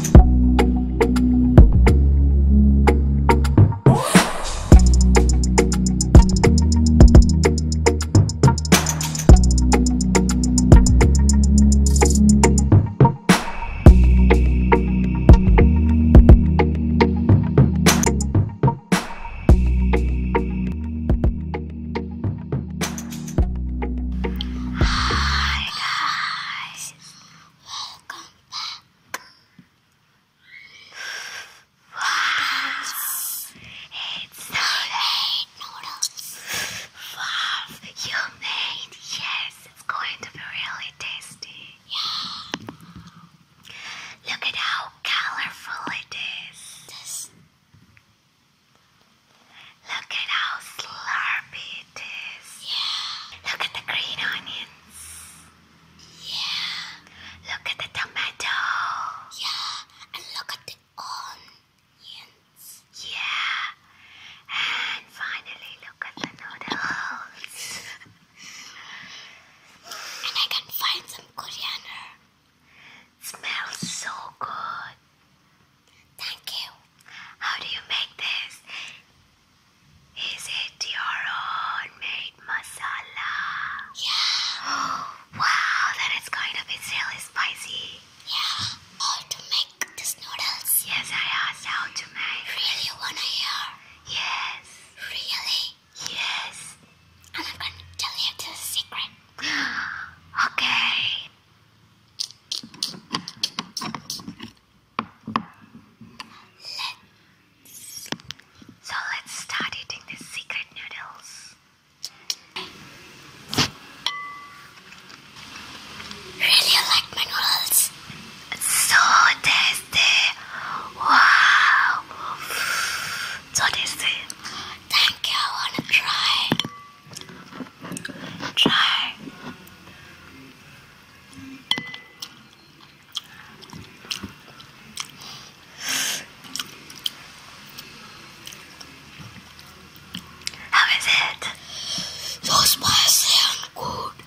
Hi guys, welcome back. Wow. It's so noodles. Wow, you made, yes, it's going to be really tasty. Yeah. Look at how colorful it is. This. Look at how slurpy it is. Yeah. Look at the green onions. Yeah. Look at the tomato. Yeah. And look at the onions. Yeah. And finally, look at the noodles. and I can find some coriander. smells so good. Thank you. How do you make this? Is it your own made masala? Yeah. wow, then it's going to be really spicy. Yeah. How to make these noodles? Yes, I asked how to make. Really wanna hear? Yes. Really? Yes. And I'm gonna tell you the secret. okay. Let's. So let's start eating the secret noodles. Really like noodles. so tasty. Wow. So tasty. Thank you. I wanna try. Try How is it? Those mice sound good.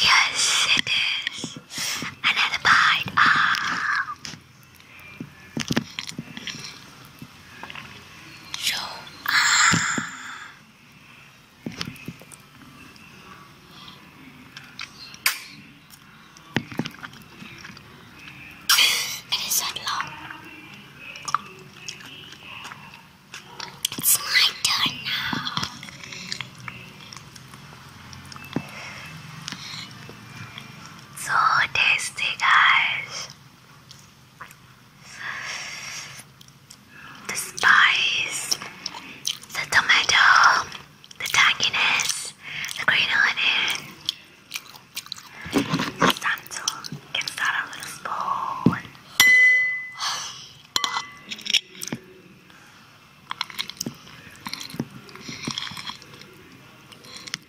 Yes, it is. Another bite. Ah. You it is not long. It's my turn now. So tasty, guys. The spice, the tomato, the tanginess, the green onion. It's time get started with a spoon.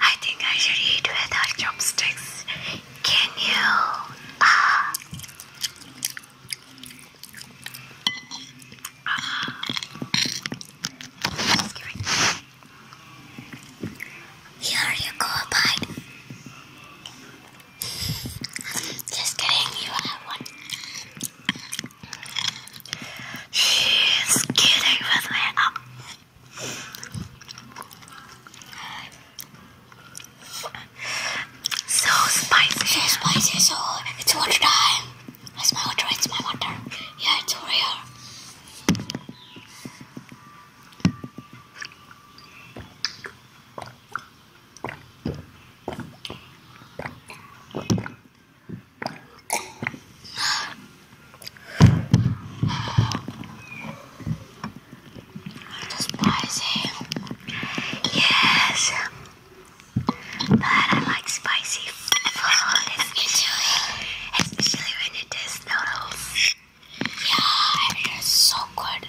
I think I should eat without chopsticks. Can you? Ah. Here you go, bite. Just kidding, you have one. She's kidding with me. Oh. So spicy. So spicy, so it's water time. It's my water, it's my water. Yeah, it's over here. Spicy. Yes. But I like spicy food, especially, when it is noodles. Yeah, it is so good.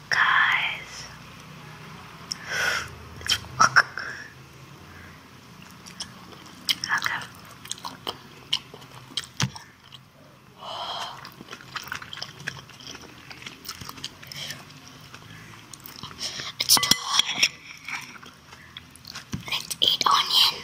fuck, guys. It's fuck. Okay. It's done. Let's eat onion.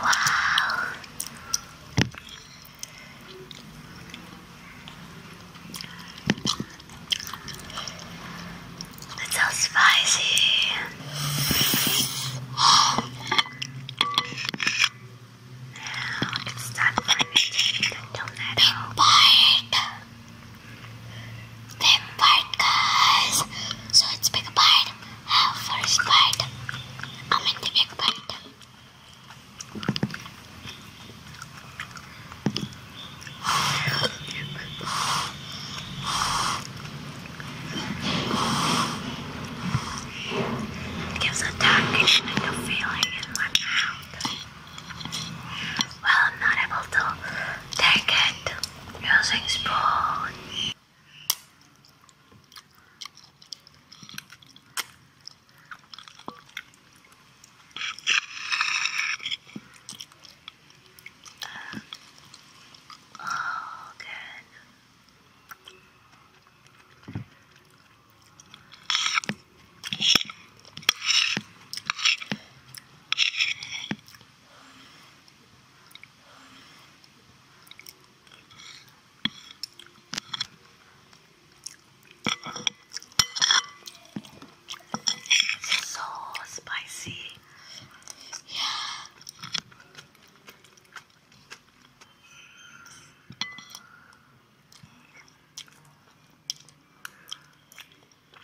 Wow. It's so spicy. now it's time for me to eat the tomato. Bite. Big bite, guys. So it's big bite first bite. I mean the big bite. It gives a darkish kind of feeling in my mouth. Well, I'm not able to take it using spoon. Oh, good. It's so spicy. Yeah.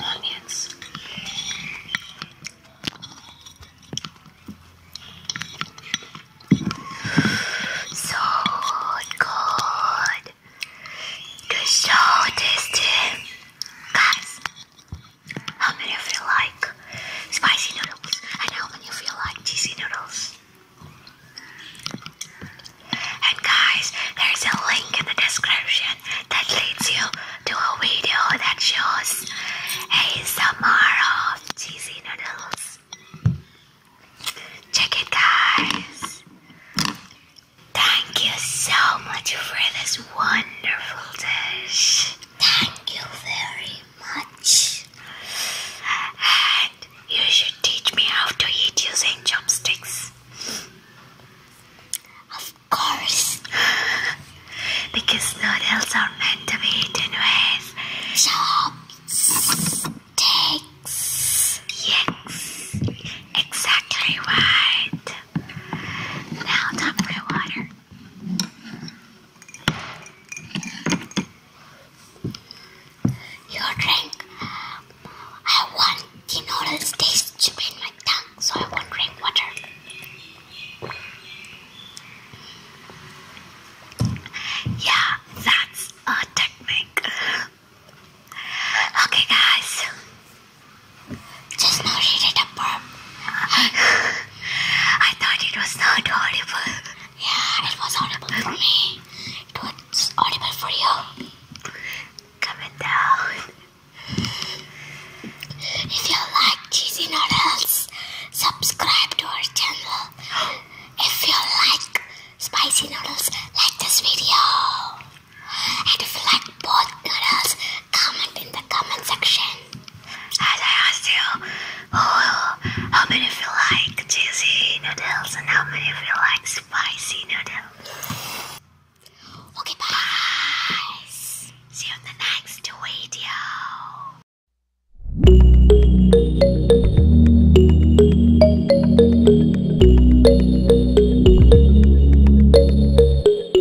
Onions. So God, Good show, tasty. Guys, how many of you like spicy noodles? And how many of you like cheesy noodles? And guys, there's a link in the description that leads you to a video that shows ASMR of cheesy noodles. Check it guys. Thank you so much for this wonderful dish. Thank you very much. And you should teach me how to eat using chopsticks. Of course. because noodles are meant to be eaten with chopsticks. Yes. Exactly right. Now, top my water. You drink. I want the noodles taste to be my tongue, so I won't drink water. Yeah, that's a technique. Okay, guys. Just now she did a burp. I thought it was not audible. Yeah, it was audible for me. It was audible for you. Comment down. If you like cheesy noodles, subscribe to our channel. If you like spicy noodles, like this video. And if you like both girls, comment in the comment section. As I asked you, oh, how many of you like cheesy noodles and how many of you like spicy noodles? Okay, bye. See you in the next video.